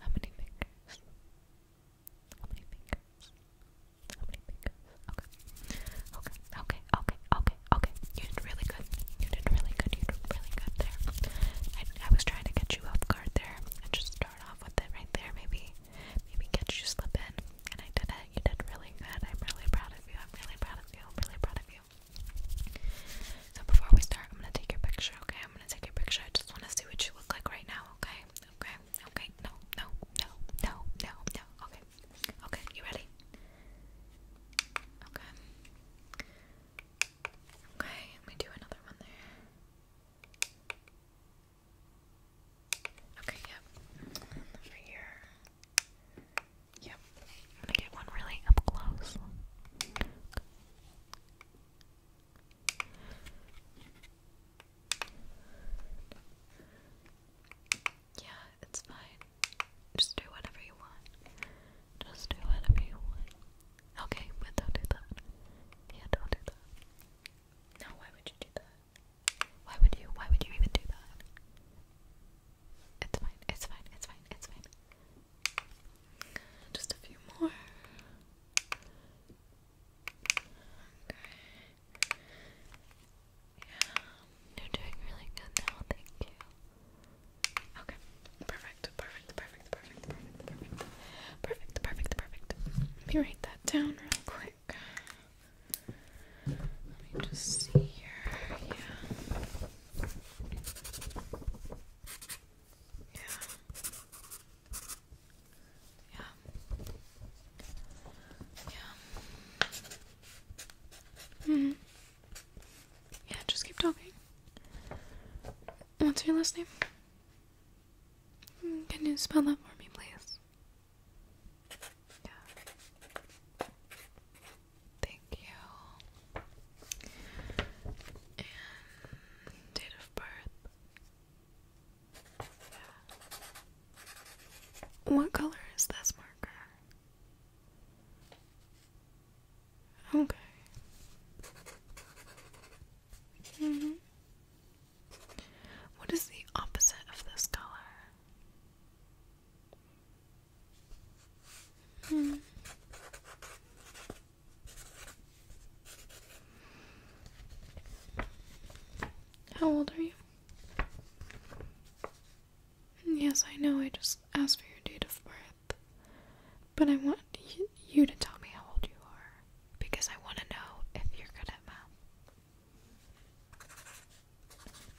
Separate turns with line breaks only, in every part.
How many fingers? How many fingers? How many fingers? Okay. Okay. Okay. Okay. Okay. Okay. You did really good. You did really good. You did really good there. I, I was trying to get you off guard there and just start off with it right there. Maybe, maybe catch you slip in. And I did it. You did really good. I'm really proud of you. I'm really proud of you. I'm really proud of you. So before we start, I'm gonna take your picture, okay? I'm gonna take your picture. I just wanna see what you look like right now, okay? Okay, okay, no, no, no, no, no, no, okay. Okay, you ready? Okay. Okay, let me do another one there. Okay, yep. Over here. Yep. I'm get one really up close. Yeah, it's fine. Just do whatever you want. Just do whatever you want. Okay, but don't do that. Yeah, don't do that. No, why would you do that? Why would you? Why would you even do that? It's fine. It's fine. It's fine. It's fine. Just a few more. Okay. Yeah, you're doing really good now. Thank you. Okay. Perfect. Perfect. Perfect. Perfect. Perfect. Perfect. Perfect. Perfect. Perfect. Let me write that down real quick. Let me just see here. Yeah. Yeah. Yeah. Yeah. Mm hmm Yeah, just keep talking. What's your last name? Mm, can you spell that for me, please? Yeah. Thank you date of birth. Yeah. What color is this marker? Okay. -hmm. What is the opposite of this color? Mm. How old are you? Yes, I know I just asked for your date of birth, but I want you to tell me how old you are because I want to know if you're good at math.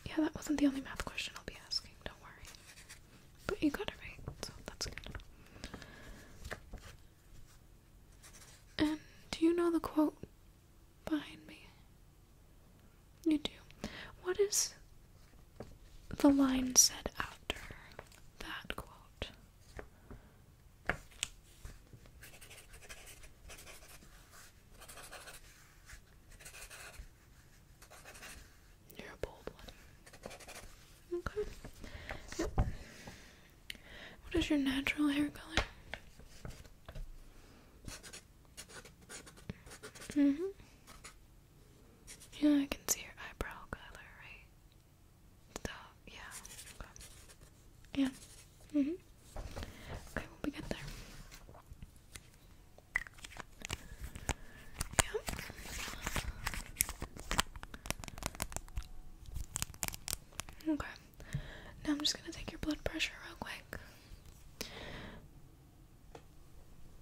Yeah, that wasn't the only math question I'll be asking, don't worry. But you got it right, so that's good. And um, do you know the quote behind me? You do. What is the line said after that quote? You're a bold one. Okay. Yep. What is your natural hair color? Mm hmm Yeah, I can see your eyebrow color, right? So, yeah. Okay. Yeah. Mm hmm Okay, we'll be good there. Yep. Okay. Now I'm just gonna take your blood pressure real quick.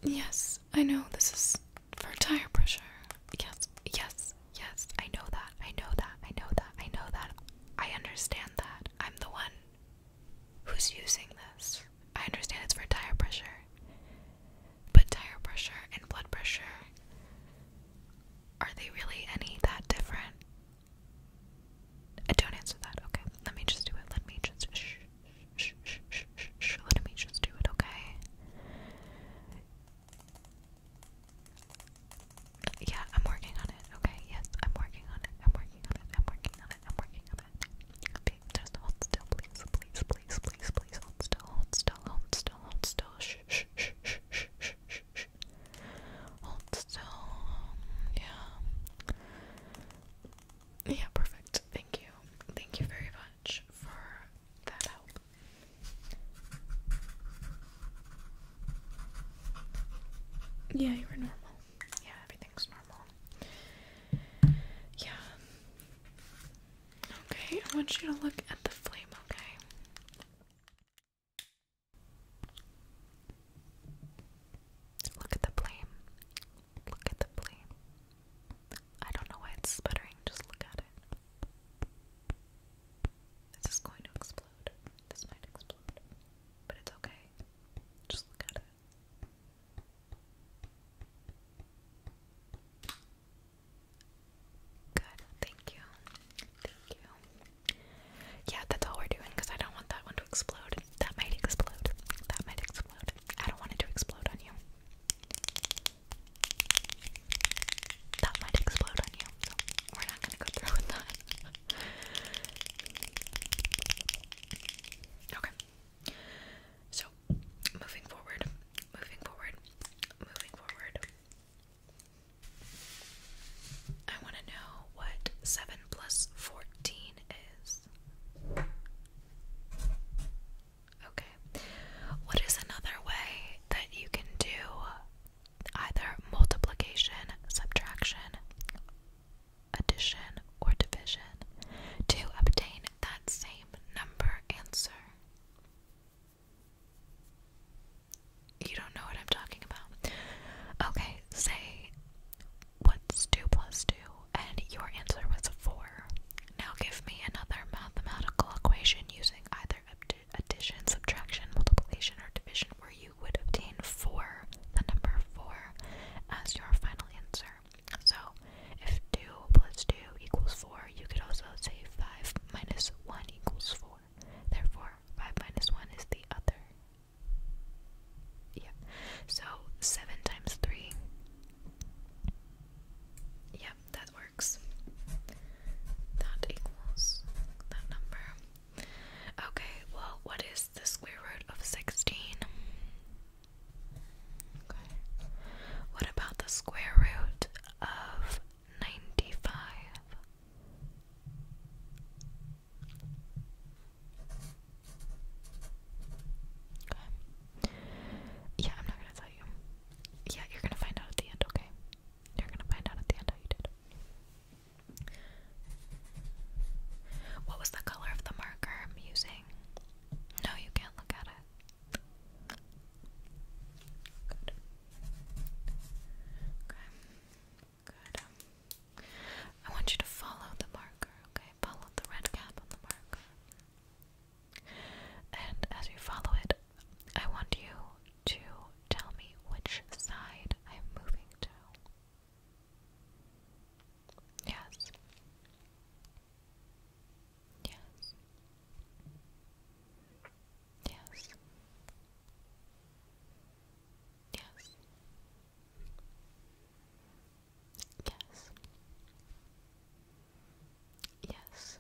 Yes, I know this is for tire pressure. Yes, yes, yes. I know that. I know that. I know that. I know that. I understand that. I'm the one who's using this. I understand it's for tire pressure. But tire pressure and blood pressure, are they really any that different? I uh, don't answer that. Okay, let me just do it. Let me just shh, shh, shh, shh, Let me just do it. Okay. Yeah, I'm working on it. Okay, yes, I'm working on it. I'm working on it. I'm working on it. I'm working on it. Okay, just hold still, please, please, please, please, please. Hold still, hold still, hold still, hold still. Shh, shh, shh, shh, shh, shh, shh. Hold still. Yeah. Yeah, perfect. Thank you. Thank you very much for that help. Yeah, you were normal. Yeah, everything's normal. Yeah. Okay, I want you to look at the flame, okay? Look at the flame. Look at the flame. I don't know why it's sputtering, just look at it. This is going to explode. This might explode. But it's okay. Just look at it. Good, thank you. Thank you. Yeah, that's all we're doing because I don't want that one to explode. That might explode. That might explode. I don't want it to explode on you. That might explode on you, so we're not gonna go through with that. okay. So, moving forward, moving forward, moving forward. I want to know what 7 plus 14 is. Okay. What is another way that you can do either multiplication, subtraction, addition, or division to obtain that same number answer? You don't know what I'm talking about. Okay, say what's 2 plus 2, and your answer was 4. Now give me another mathematical equation using either addition, subtraction, multiplication, or division where you would obtain 4, the number 4, as your final answer. So if 2 plus 2 equals 4, you could also say 5 minus 1 equals 4. Therefore, 5 minus 1 is the other. Yeah. So, 7 times 3. Yep, that works. That equals that number. Okay, well, what is the square root of 16? Okay. What about the square root of ninety five. Yeah, I'm not gonna tell you. Yeah, you're gonna find out at the end, okay? You're gonna find out at the end how you did. What was the color of the marker I'm using? No, you can't look at it. Good. Okay. Good. Um, I want you to follow the marker, okay? Follow the red cap on the marker. And as you follow it, I want you to tell me which side I am moving to. Yes. Yes. Yes. Yes. Yes. Yes.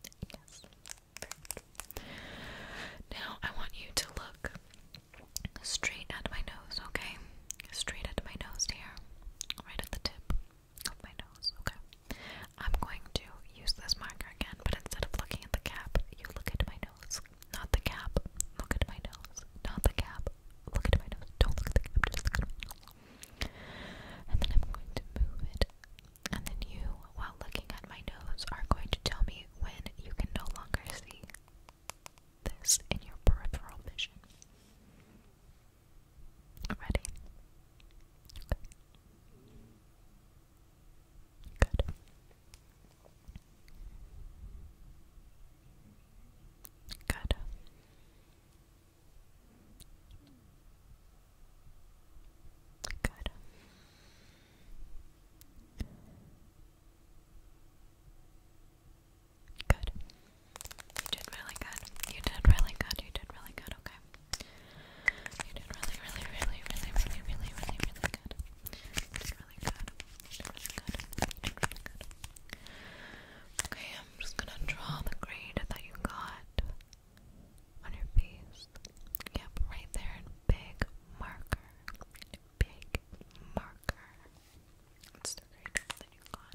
Yes. Yes. Now I want you to look straight at my nose, okay? Straight at my nose here, right at the tip of my nose. Okay. I'm going to use this marker again, but instead of looking at the cap, you look at my nose. Not the cap. Look at my nose. Not the cap. Look at my nose. Don't look at the cap. And then I'm going to move it. And then you, while looking at my nose, are going to tell me when you can no longer see this in your peripheral vision. Ready? Okay. Good. Good. Good. Good. You did really good. You did really good. You did really good. Okay. You did really, really, really, really, really, really, really, really good. really good. really good. really good. Okay, I'm just gonna draw the grade that you got on your face. Yep, right there big marker. Big marker. It's the grade that you got.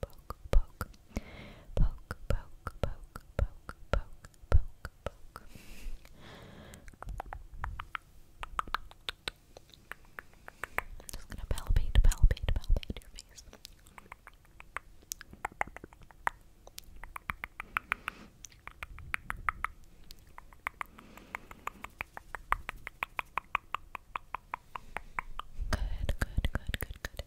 poke, poke, I'm just gonna palpate, palpate, palpate your Good, good, good, good, good.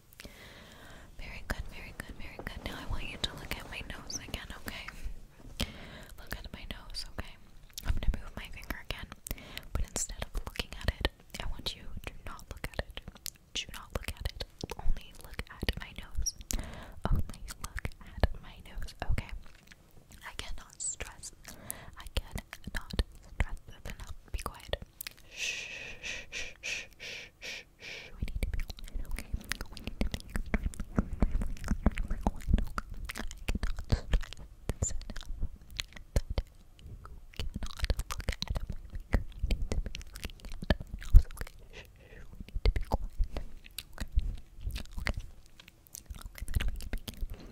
Very good, very good, very good. Now I want you to look at my nose again, okay? Look at my nose, okay? I'm gonna move my finger again, but instead of looking at it, I want you to not look at it. Do not look at it. Only look at my nose. Only look at my nose, okay? I cannot stress. I cannot stress enough. Be quiet. shh, shh, shh, shh. shh, shh, shh. We need to be quiet, okay? We need to be extremely quiet, okay? I cannot stress this enough that you cannot look at my finger. You need to be looking at my nose, okay? Shh, shh. We need to be quiet, okay? Okay. Okay, then we can begin. Good.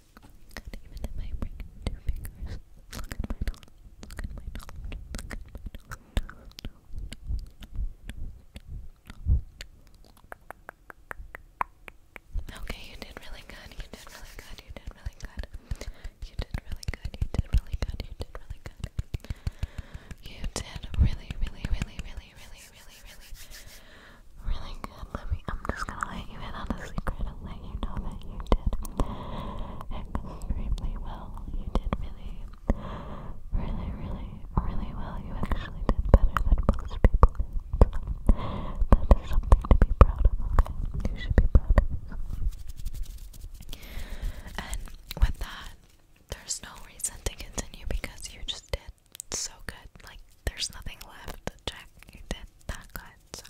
And even if I bring in two fingers, look at my knowledge, look at my knowledge, look at my knowledge. Okay, you did really good, you did really good, you did really good. You did really good, you did really good, you did really good. You did really, really, really, really, really, really, really, really, really let me. I'm just gonna let you in on the secret and let you know that you did extremely well. You did really, really, really, really well. You actually did better than most people did. So something to be proud of. Okay, you should be proud And with that, there's no reason to continue because you just did so good. Like. There's nothing left. Check, you did that good.